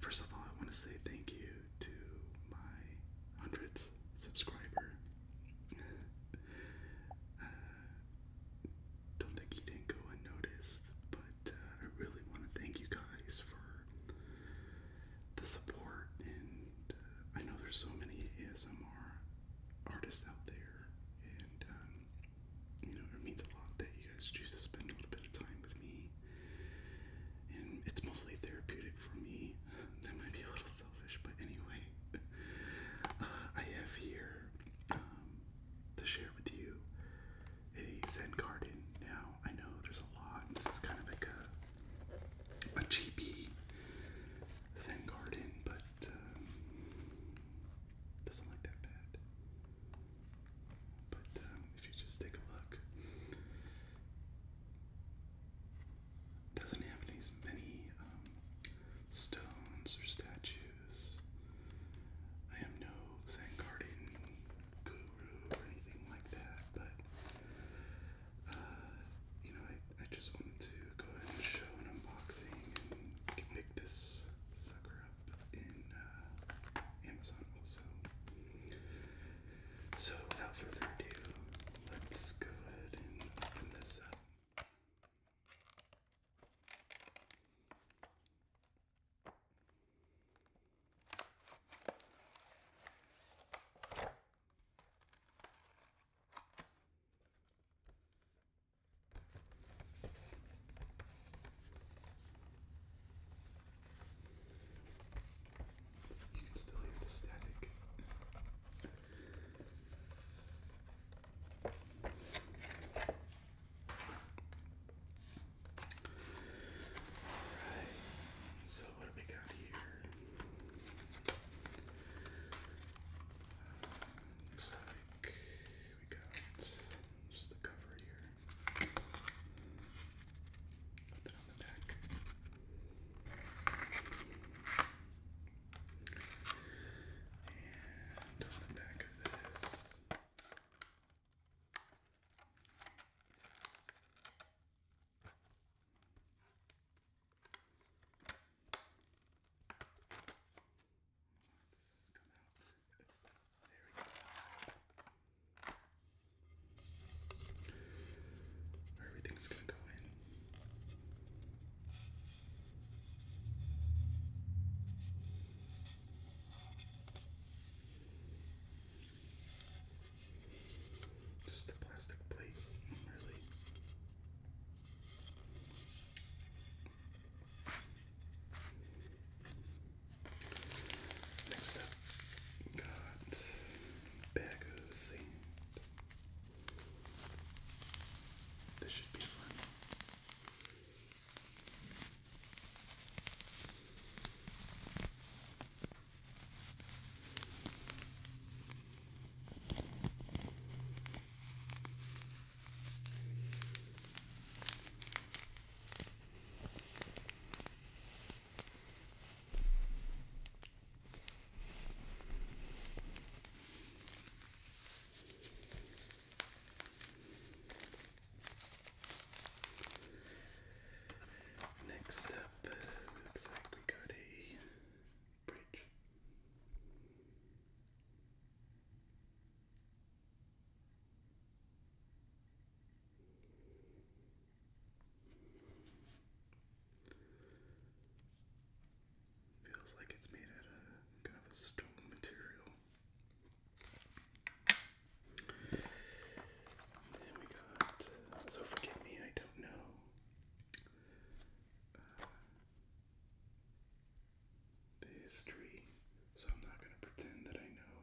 First of all, I want to say thank you to my 100th subscriber. Uh, don't think he didn't go unnoticed, but uh, I really want to thank you guys for the support. And uh, I know there's so many ASMR artists out there, um, you know, it means a lot that you guys choose to spend a little bit of time with me. And it's mostly therapeutic for me. That might be a little selfish, but anyway, uh, I have here um, to share with you a Zen garden. Now, I know there's a lot, this is kind of like a, a cheapy Zen garden, but um, doesn't look that bad. But um, if you just take a look, doesn't have as many um, stones or statues. I am no Zen garden guru or anything like that, but uh, you know, I, I just wanted to go ahead and show an unboxing you can pick this sucker up in uh, Amazon also. So without further ado, let's go ahead and open this up you can still hear the static. Alright, so what do we got here? Uh, back. We got just the cover here. Nothing on the back. And on the back of this. This has come out. there we go. everything's gonna go in. Just a plastic plate, really. Next up, we got Bagoo Sand. This should be fun. Next up, looks like we got a bridge. Feels like it's made out of kind of a stone material. And we got, uh, so forgive me, I don't know. Uh, the history, so I'm not going to pretend that I know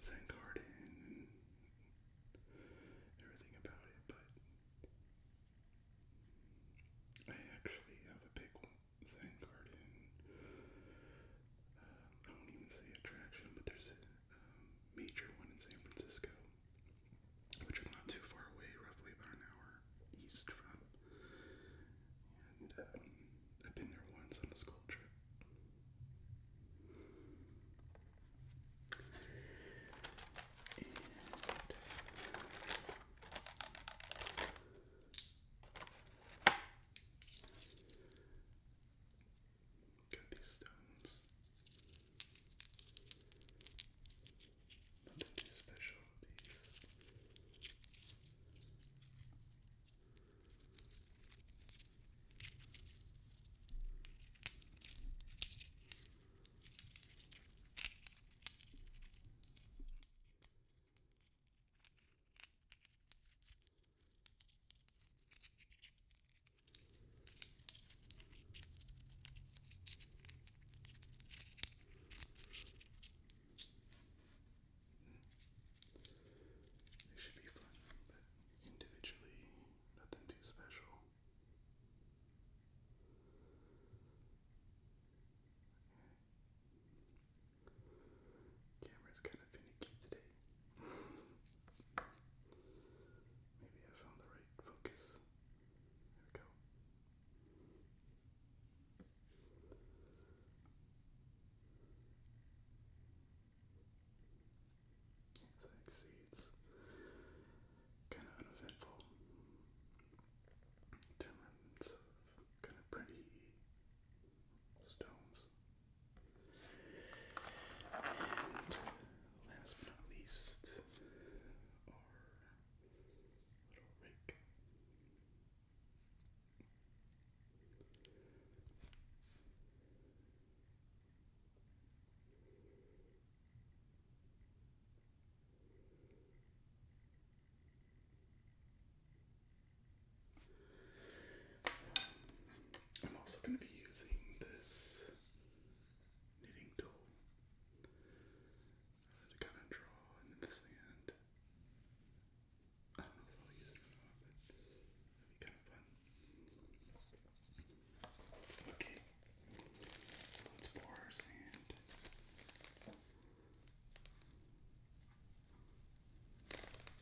Zen and everything about it, but I actually have a big Zen uh, I won't even say attraction, but there's um, major one in San Francisco, which is not too far away, roughly about an hour east from. And um, I've been there once on a school trip. And Got these stones. Nothing too special with these. They should be fun, but individually, nothing too special. Camera's kind of finicky today. Maybe I found the right focus. There we go. So I kind of uneventful. Ten minutes of kind of pretty stones last but not least, I'm also going to be using this knitting tool to kind of draw into the sand. I don't know if I'll use it or not, but that'd be kind of fun. Okay, so let's pour our sand.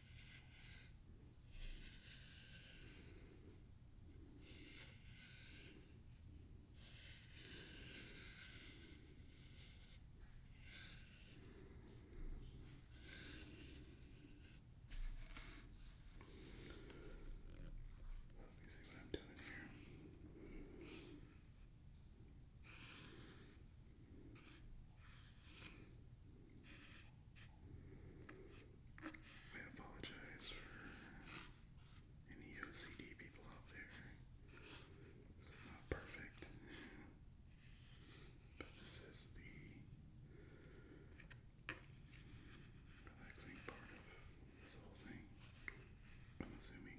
Let me see what I'm doing here. I apologize for any OCD people out there. This is not perfect, but this is the relaxing part of this whole thing. I'm assuming.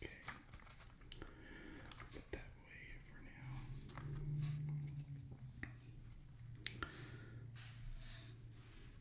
Okay. Put that away for now.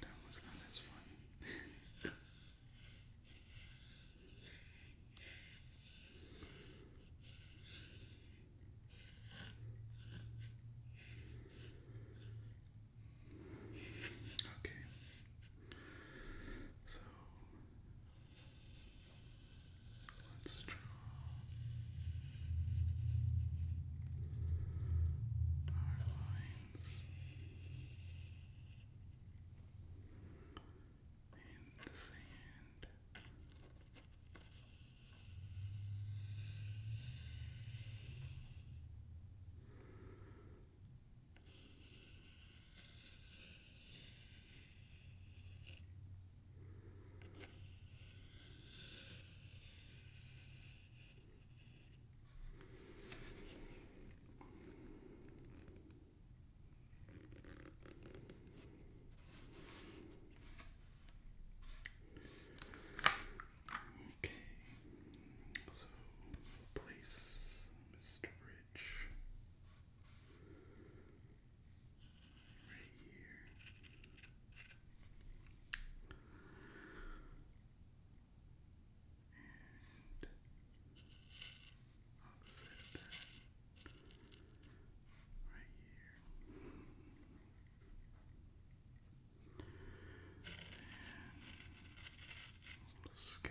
That was not as fun. Okay. So let's draw our lines in the sand. Now Okay, so place Mr. Rich right here and opposite that, right here, and scatter.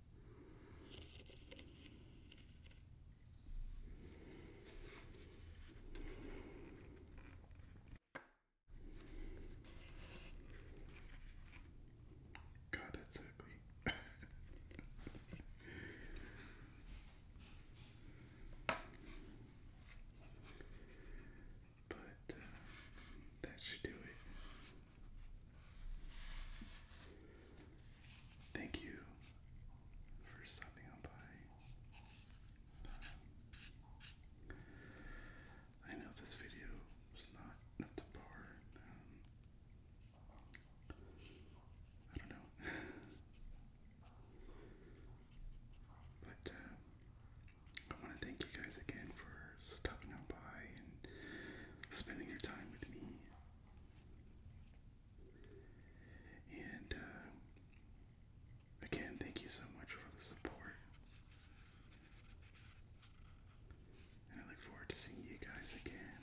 God, that's ugly. but uh, that should do it. Thank you for stopping by. I know this video was not up to par. Um, I don't know. But um, I want to thank you guys again for stopping by and spending your time with me. And uh, again, thank you so much for the support. And I look forward to seeing you guys again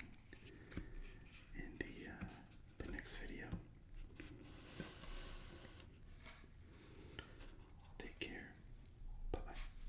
in the uh, the next video. Take care. Bye bye.